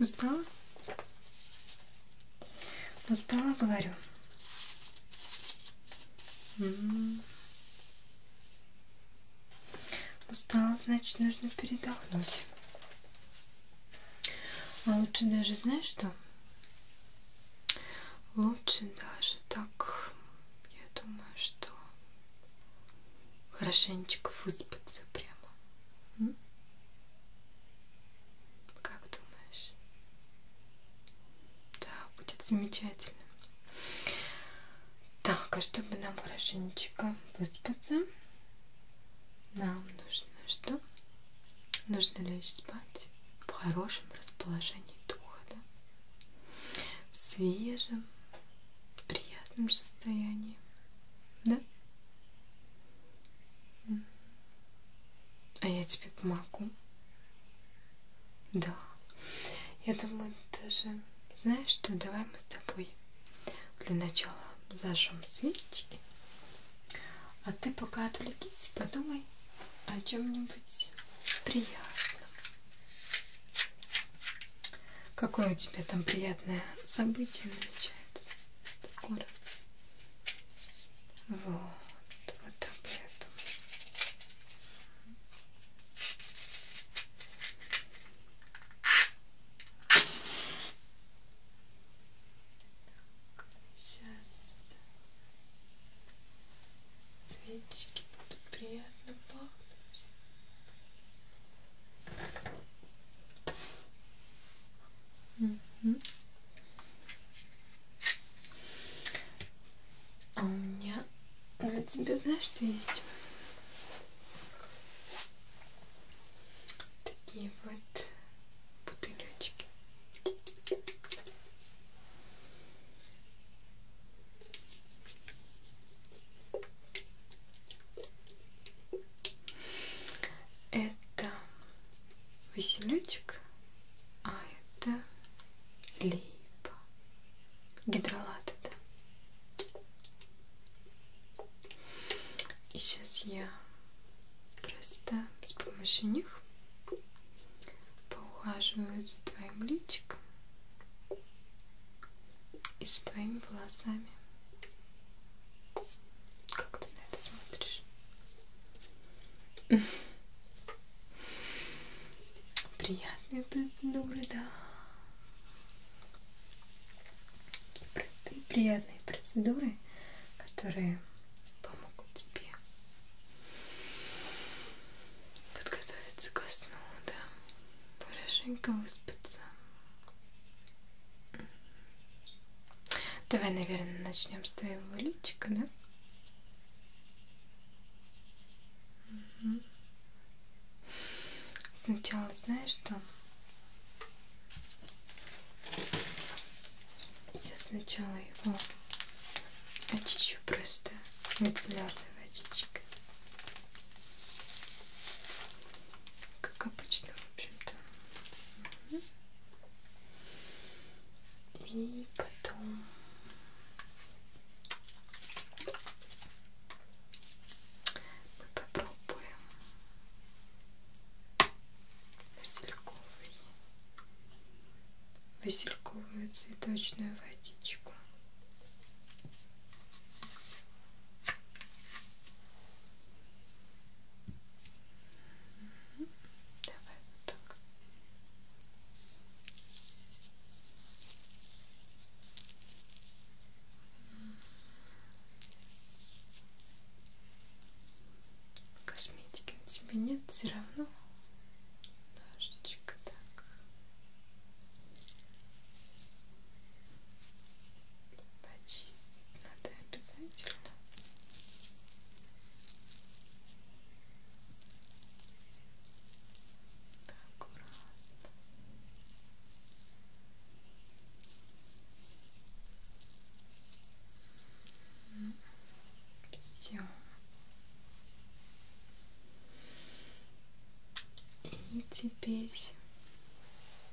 Устала? Устала, говорю. Устала, значит, нужно передохнуть. А лучше даже, знаешь что? лучше даже так, я думаю, что хорошенечко выспаться прямо. М? Как думаешь? Да, будет замечательно. Так, а чтобы нам хорошенечко выспаться, нам нужно что? Нужно лечь спать в хорошем расположении духа, да? в свежем, приятном состоянии, да? А я тебе помогу. Да. Я думаю, даже, знаешь что, давай мы с тобой для начала зажжем свечки. А ты пока отвлекись, подумай, о чем-нибудь приятном. Какое у тебя там приятное событие намечается скоро? Вот, вот об этом. Так, сейчас Цветочки будут приятно пахнуть. Угу. А у меня для тебя знаешь, что есть? Такие вот бутылечки это веселючек, а это липа. Гидролат это. И сейчас я просто с помощью них поухаживают за твоим личиком и с твоими волосами. Как ты на это смотришь? Приятные процедуры, да. Такие простые, приятные процедуры, которые помогут тебе подготовиться ко сну, да, хорошенько выспаться. Давай, наверное, начнем с твоего личика, да? Угу. Сначала знаешь что? Я сначала его очищу просто мицеллярной водичкой. Как обычно, в общем-то. Угу. И потом... Мы попробуем васильковый, васильковую цветочную водичку. Давай вот так. Косметики на тебе нет, все равно. Немножечко так. Почистить надо обязательно. Аккуратно. Аккуратно. Все. И теперь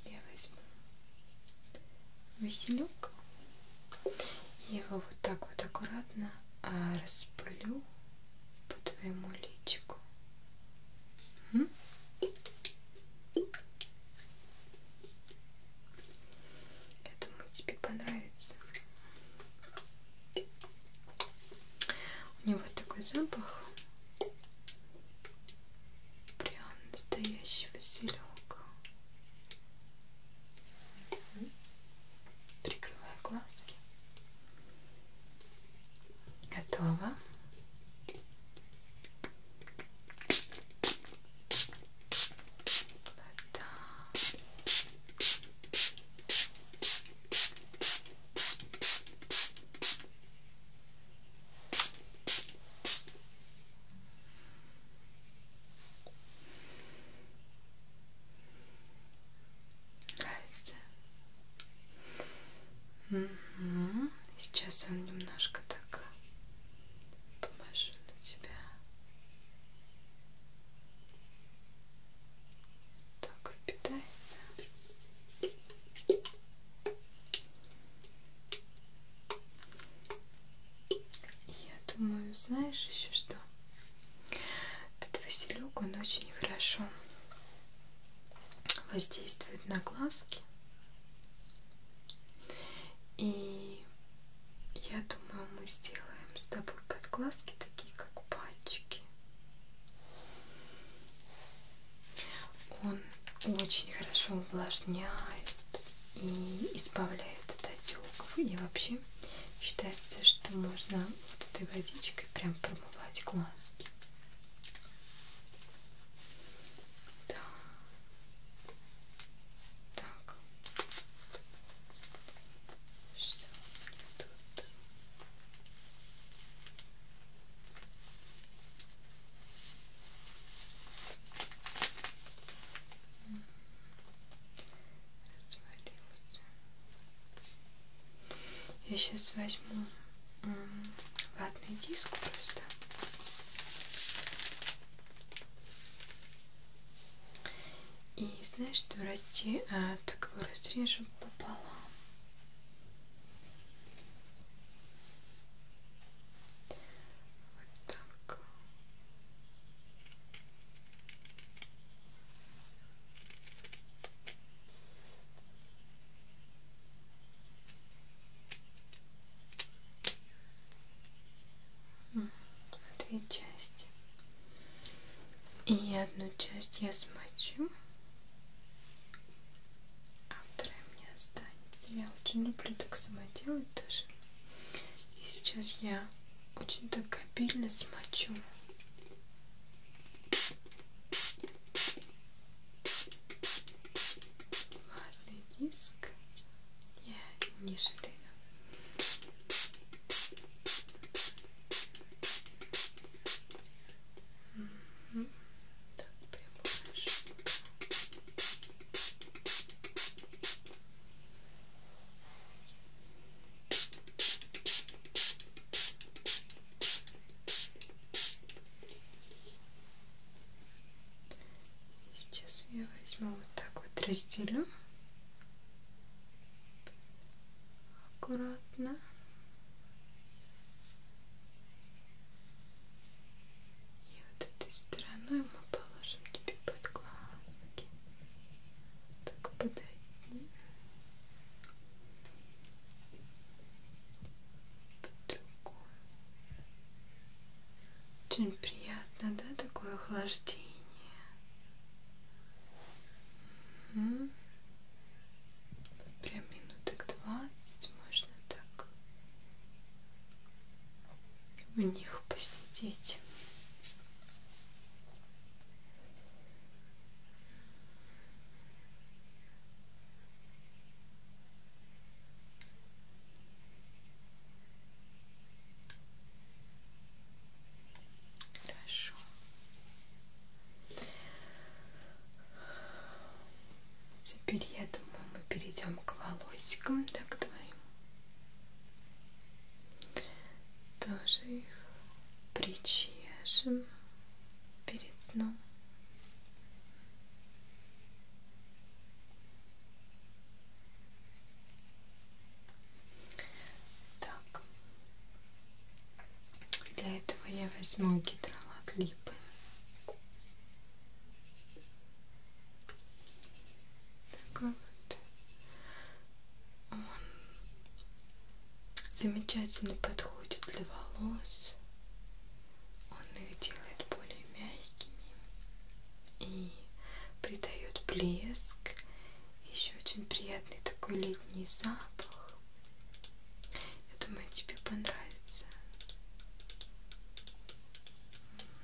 я возьму василек и его вот так вот аккуратно а, распылю по твоему личику. Угу. Я думаю, тебе понравится. У него такой запах прям настоящий василек. Угу. Прикрываю глазки. Готово вода нравится угу. сейчас он немножко так поможу на тебя так впитается я думаю, знаешь еще что? Этот василек, он очень хорошо воздействует на глазки и я думаю, мы сделаем с тобой подглазки такие, как пальчики. Он очень хорошо увлажняет и избавляет от отеков. И вообще считается, что можно вот этой водичкой прям промывать глазки. Да. Так. Что мне тут? Развалился. Я сейчас возьму ватный диск просто и знаешь, что расти, а, так его разрежем пополам. Вот так две части. И одну часть я смочу, а вторая мне останется. Я очень люблю так сама делать тоже. И сейчас я очень так обильно смочу. Харли диск я не жалею. Угу. Так, прямо Сейчас я возьму вот так вот разделю аккуратно. И вот этой стороной мы положим тебе под глазки. Так подойди другую. Очень приятно, да, такое охлаждение. Угу. Прям минуток двадцать можно так в них посидеть. Хорошо. Теперь я думаю, мы перейдем к волосикам, так твоим. Тоже их причешем перед сном. Так. Для этого я возьму гидролат липы. Такой вот. Он замечательно подходит для волос. Он их делает более мягкими и придает блеск. Еще очень приятный такой летний запах. Я думаю, тебе понравится.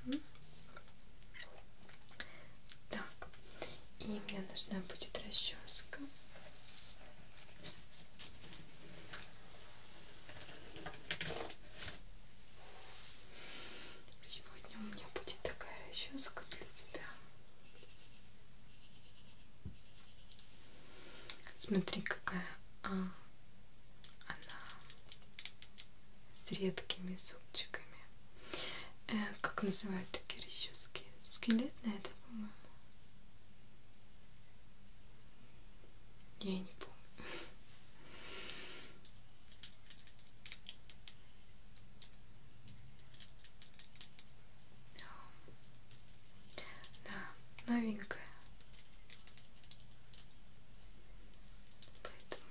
Угу. Так, и мне нужна будет расческа. Сегодня у меня будет такая расческа для тебя. Смотри, какая а, она с редкими зубчиками. Э, как называют такие расчески? Скелетная, да, по-моему? Я не помню. Да, новенькая. Поэтому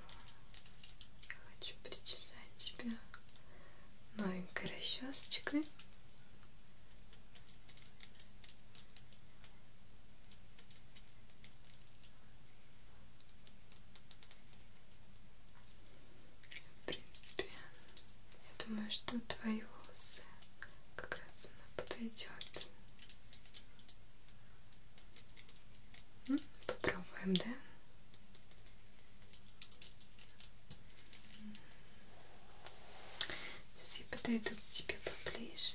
я хочу причесать тебя новенькой расчесочкой. В принципе, я думаю, что твои волосы как раз она подойдет. Попробуем, да? Сейчас я подойду к тебе поближе.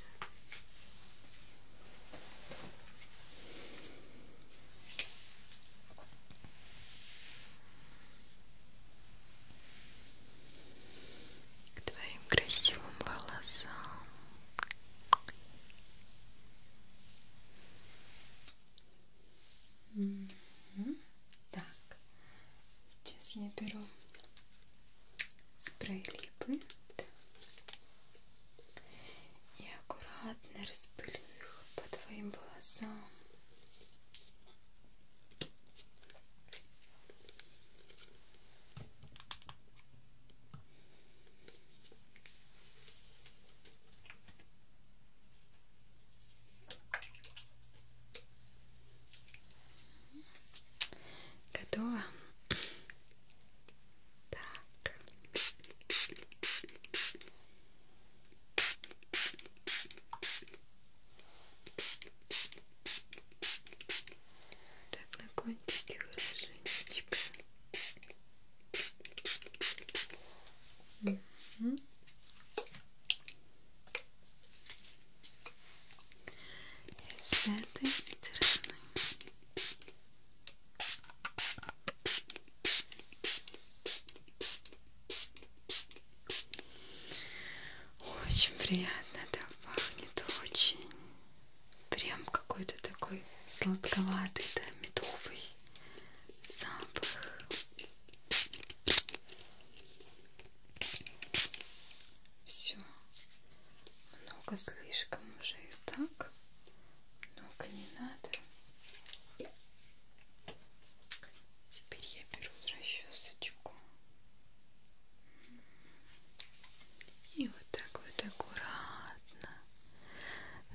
К твоим красивым волосам. Mm -hmm. Так, сейчас я беру спрей липы да, и аккуратно распылю их по твоим волосам. Так, Готово? Так. Так, на кончике хорошенечко. Угу. И с этой стороны. Очень приятно, да, пахнет очень. Прям какой-то такой сладковатый, да, медовый запах. Все. Много слишком уже и так. Много не надо. Теперь я беру расчесочку. И вот так вот аккуратно.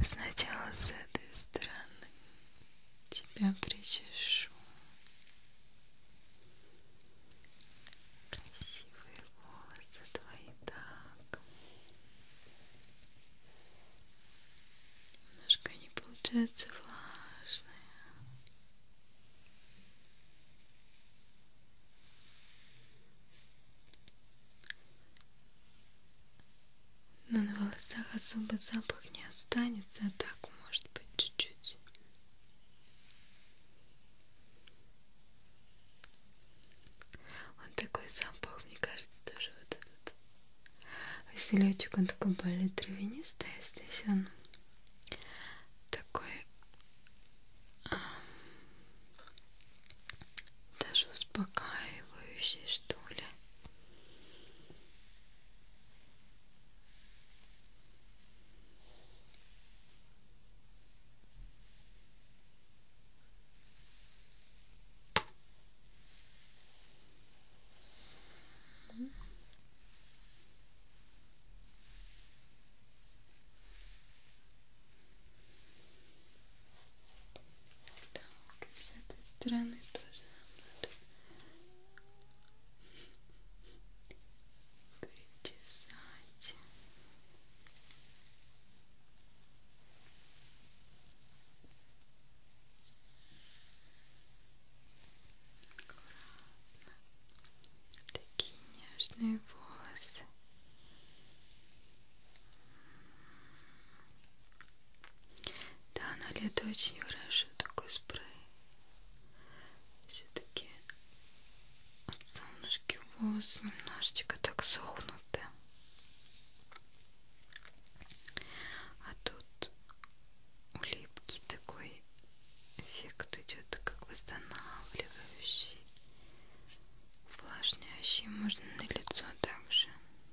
Сначала с этой стороны тебя причешу. Красивые волосы твои так. Немножко не получается влажные. Но на волосах особо запах не останется, а так может быть чуть-чуть чуть-чуть. Он такой запах, мне кажется, тоже вот этот василечек, он такой более травянистый, а здесь он такой а, даже успокаивающий, что ли. Так, с этой стороны тоже нам надо причесать аккуратно такие нежные волосы да, на лето очень хорошо такой спрей. Все-таки от солнышки волосы немножечко так сохнуты. А тут у липки такой эффект идет, как восстанавливающий, увлажняющий. Можно на лицо также.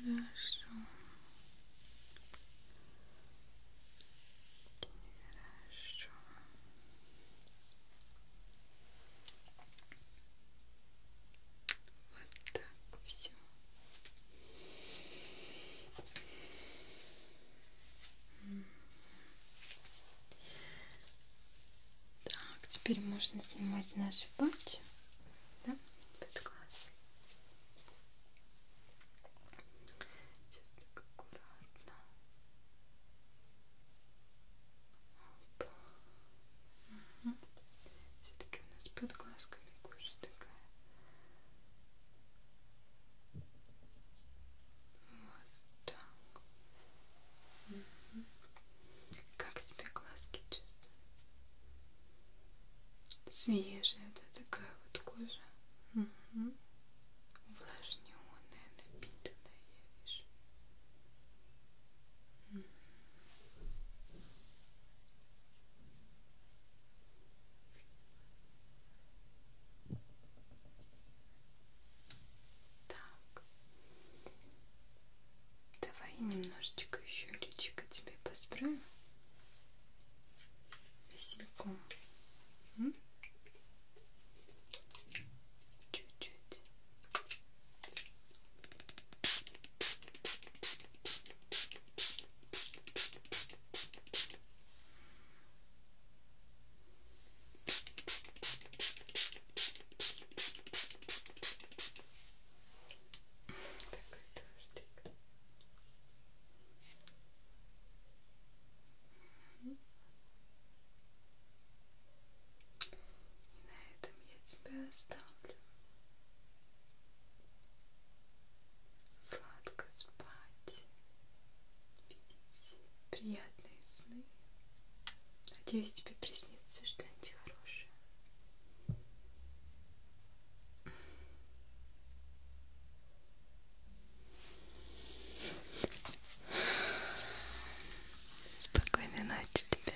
Хорошо. Хорошо. Вот так все. Так, теперь можно снимать наши пальчики, да, под глаз. Сейчас так аккуратно. Угу. Все-таки у нас под глазками кожа такая. Вот так. Угу. Как себе глазки чувствую? Свежая, да, такая вот кожа. Угу. Увлажненная, напитанная, я вижу. М -м. Так. Давай я немножечко еще личико тебе посправлю васильком. Чуть-чуть. Такой дождик. И на этом я тебя оставлю. Сладко спать, видеть приятные сны. Надеюсь, тебе приснится что-нибудь хорошее. Спокойной ночи тебе.